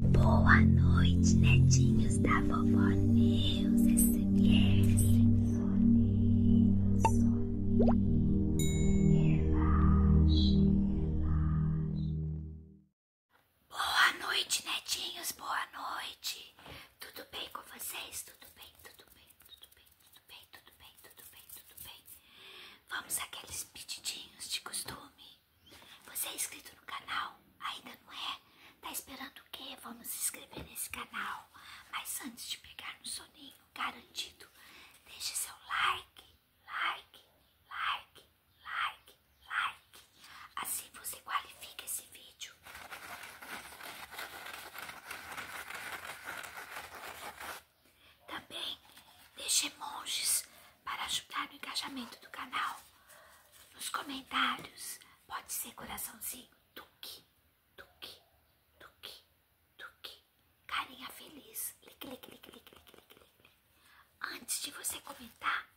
Boa noite, netinhos da vovó Neus SMR. Soninho, soninho, relaxe, Boa noite, netinhos, boa noite. Tudo bem com vocês? Tudo bem, tudo bem, tudo bem, tudo bem, tudo bem, tudo bem, tudo bem. Vamos àqueles pedidinhos de costume. Você é inscrito no canal? Ainda não é? Tá esperando o quê? Vamos se inscrever nesse canal. Mas antes de pegar no soninho, garantido, deixe seu like, like, like, like, like. Assim você qualifica esse vídeo. Também deixe emojis para ajudar no engajamento do canal. Nos comentários, pode ser coraçãozinho, tuque, tuque, tuque, tuque, carinha feliz, clique, clique, clique, clique, Antes de você comentar,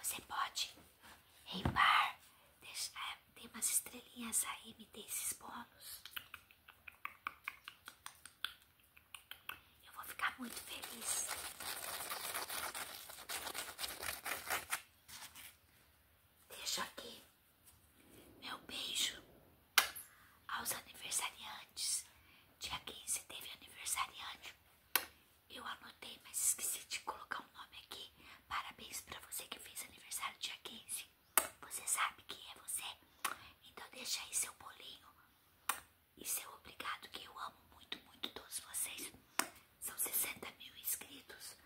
você pode reimbar, deixar, tem umas estrelinhas aí, me dê esses bônus. Eu vou ficar muito feliz. Deixo aqui meu beijo aos aniversariantes. Dia 15 teve aniversariante. Eu anotei, mas esqueci de colocar o nome aqui. Parabéns pra você que fez aniversário dia 15. Você sabe quem é você? Então deixa aí seu bolinho e seu é obrigado, que eu amo muito, muito todos vocês. São 60 mil inscritos.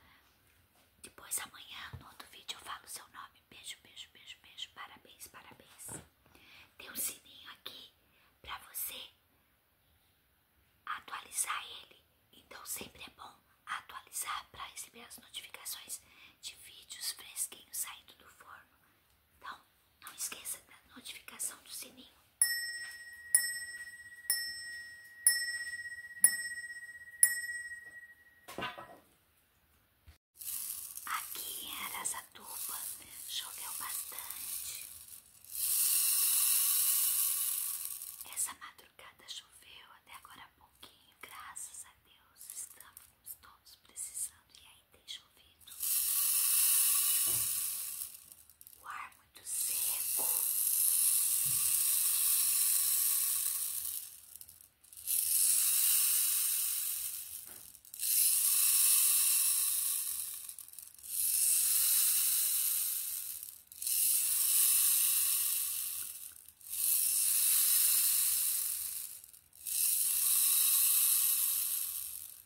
Depois amanhã, no outro vídeo, eu falo seu nome. Beijo, beijo, beijo, beijo. Parabéns, parabéns. Tem um sininho aqui pra você atualizar ele. Então sempre é bom atualizar para receber as notificações de vídeos fresquinhos saindo do forno. Então, não esqueça da notificação do sininho. Aqui em Arasatuba choveu bastante. Essa madrugada choveu até agora pouquinho, graças a Deus. Estamos todos precisando e aí tem chovido o ar muito seco.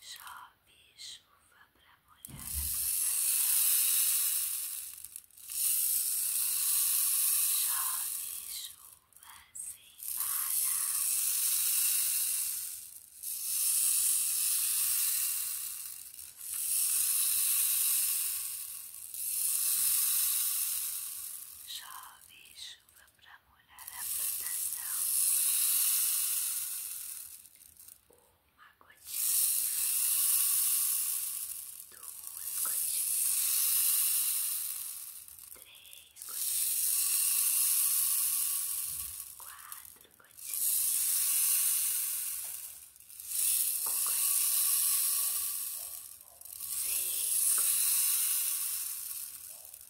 Chove chuva para molhar a plantação. Chove chuva sem parar. Chove chuva chuva para molhar a plantação. Uma gotinha, duas gotinhas, três gotinhas, quatro gotinhas, cinco gotinhas, seis gotinhas,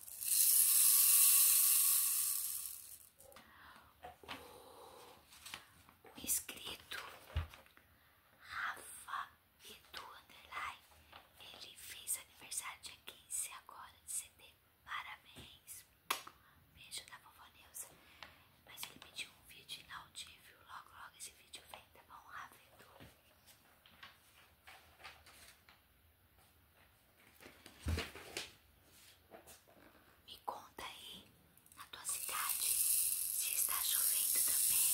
O, inscrito Rafa Edu Underline, ele fez aniversário dia 15 agora de setembro. Parabéns! Beijo da vovó Neuza. Mas ele pediu um vídeo inaudível. Logo, logo esse vídeo vem, tá bom, Rafa Edu? Me conta aí, na tua cidade, se está chovendo também.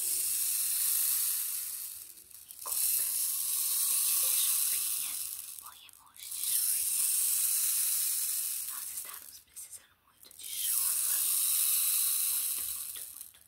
Me conta, se tiver chuvinha, põe emoji de chuvinha aí. Nós estávamos precisando muito de chuva. Muito, muito, muito,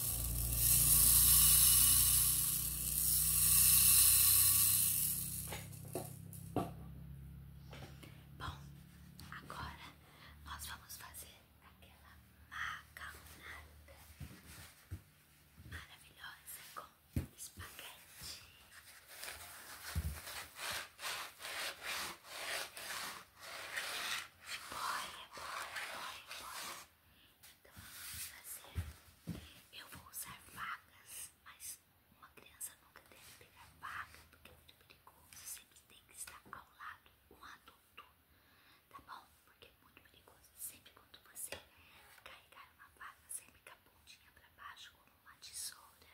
Bom, agora nós vamos fazer aquela macarronada maravilhosa com espaguete. Bora, bora, bora, bora. Então vamos fazer. Eu vou usar vacas, mas uma criança nunca deve pegar vaca porque é muito perigoso. Sempre tem que estar ao lado um adulto, tá bom? Porque é muito perigoso. Sempre quando você carregar uma vaca, sempre com a pontinha pra baixo, como uma tesoura.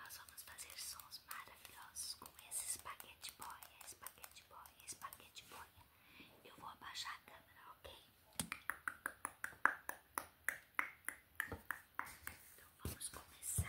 Nós vamos fazer sons maravilhosos com esse espaguete boy, espaguete boy, espaguete boy. Eu vou abaixar a câmera, ok? Então vamos começar.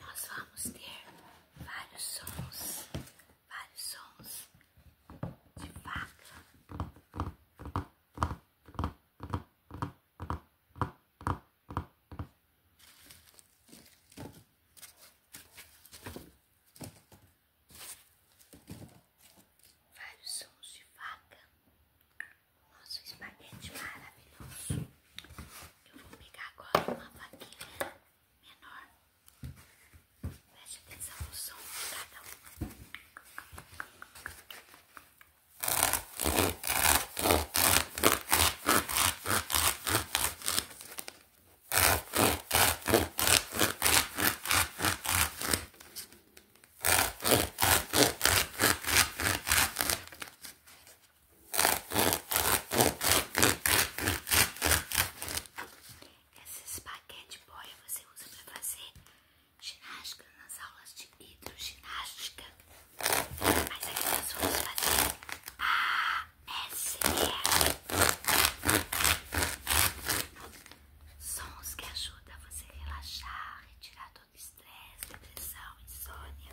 Nós vamos ter vários sons, vários sons de vaca vários sons de vaca. Nosso espaguete maravilhoso. Eu vou pegar agora uma vaquinha menor. Preste atenção no som de cada uma. Esses paquetes boia você usa para fazer ginástica nas aulas de hidroginástica. Mas aqui nós vamos fazer ASMR. Sons que ajudam a você relaxar, retirar todo o estresse, depressão, insônia.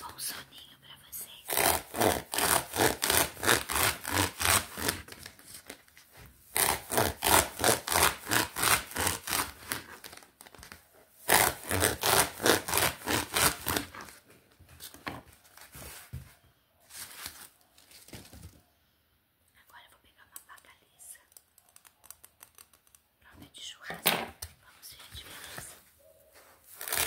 Bom soninho pra vocês. Agora eu vou pegar uma faca lisa. Própria de churrasco. Vamos ver a diferença. Olha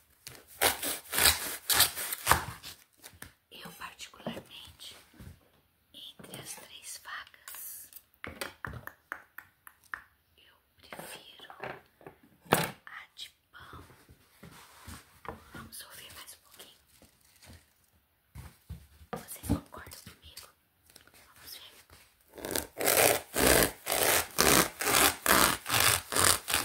Eu, particularmente, entre as três facas, eu prefiro a de pão. Vamos ouvir mais um pouquinho. Você concorda comigo? Vamos ver.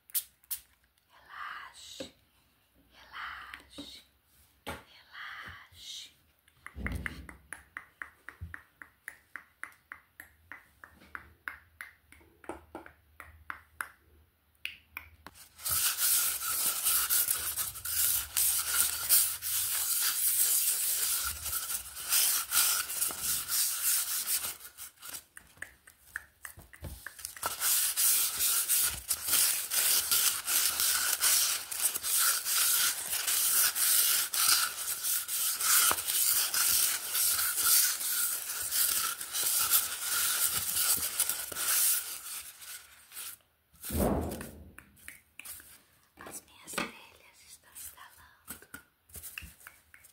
Relaxe, relaxe, relaxe. As minhas orelhas estão estalando.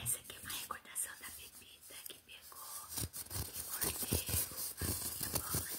Essa aqui é uma recordação da bebida que pegou e mordeu a minha bola de novo.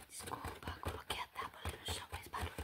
Desculpa, coloquei a tábua no chão, faz barulho.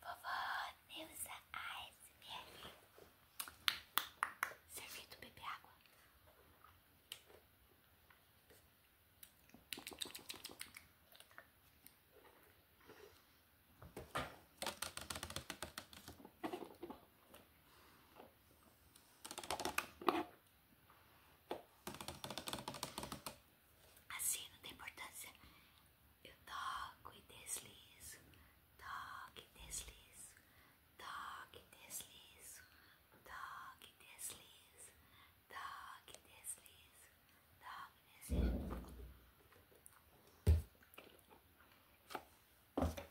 Vovó Neuza ASMR. Servido, beber água. Assim não tem importância. Eu toco e deslizo, toque e deslizo, toque e deslizo, toque e deslizo, toque e deslizo, toque deslizo.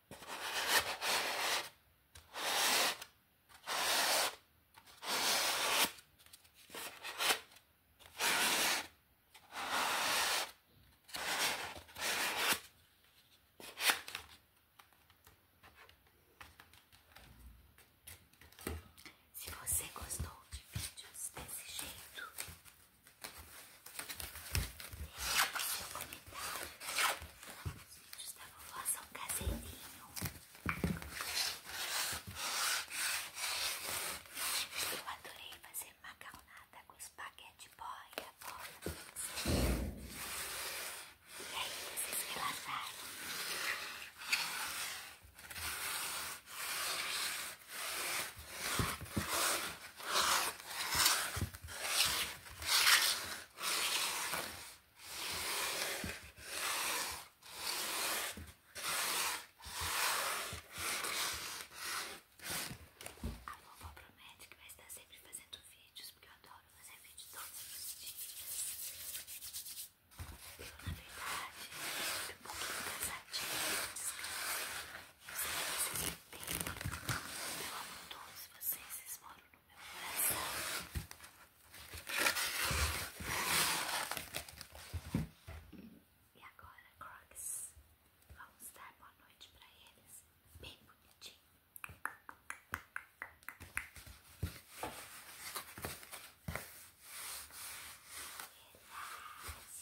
Se você gostou de vídeos desse jeito, deixe seu comentário os vídeos da vovó são caseirinho. Eu adorei fazer macarronada com espaguete, boia, bola. E aí, vocês relaxaram? Vou a vovó promete que vai estar sempre fazendo vídeos, porque eu adoro fazer vídeos todos os dias. na verdade, fico um pouquinho cansadinha, descanso. Eu sei que eu tenho. Eu amo todos vocês, vocês moram coração. E agora, Crocs, vamos dar boa noite para eles, bem bonitinho. Relaxe, relaxe,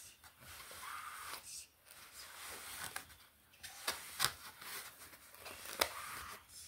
sorriso. Relaxe,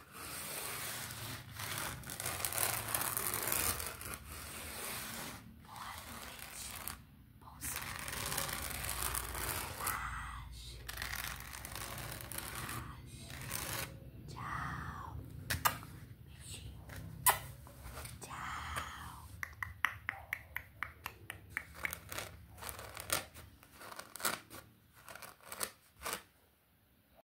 Boa noite, bom sono, relaxe, relaxe, tchau, beijinho, tchau.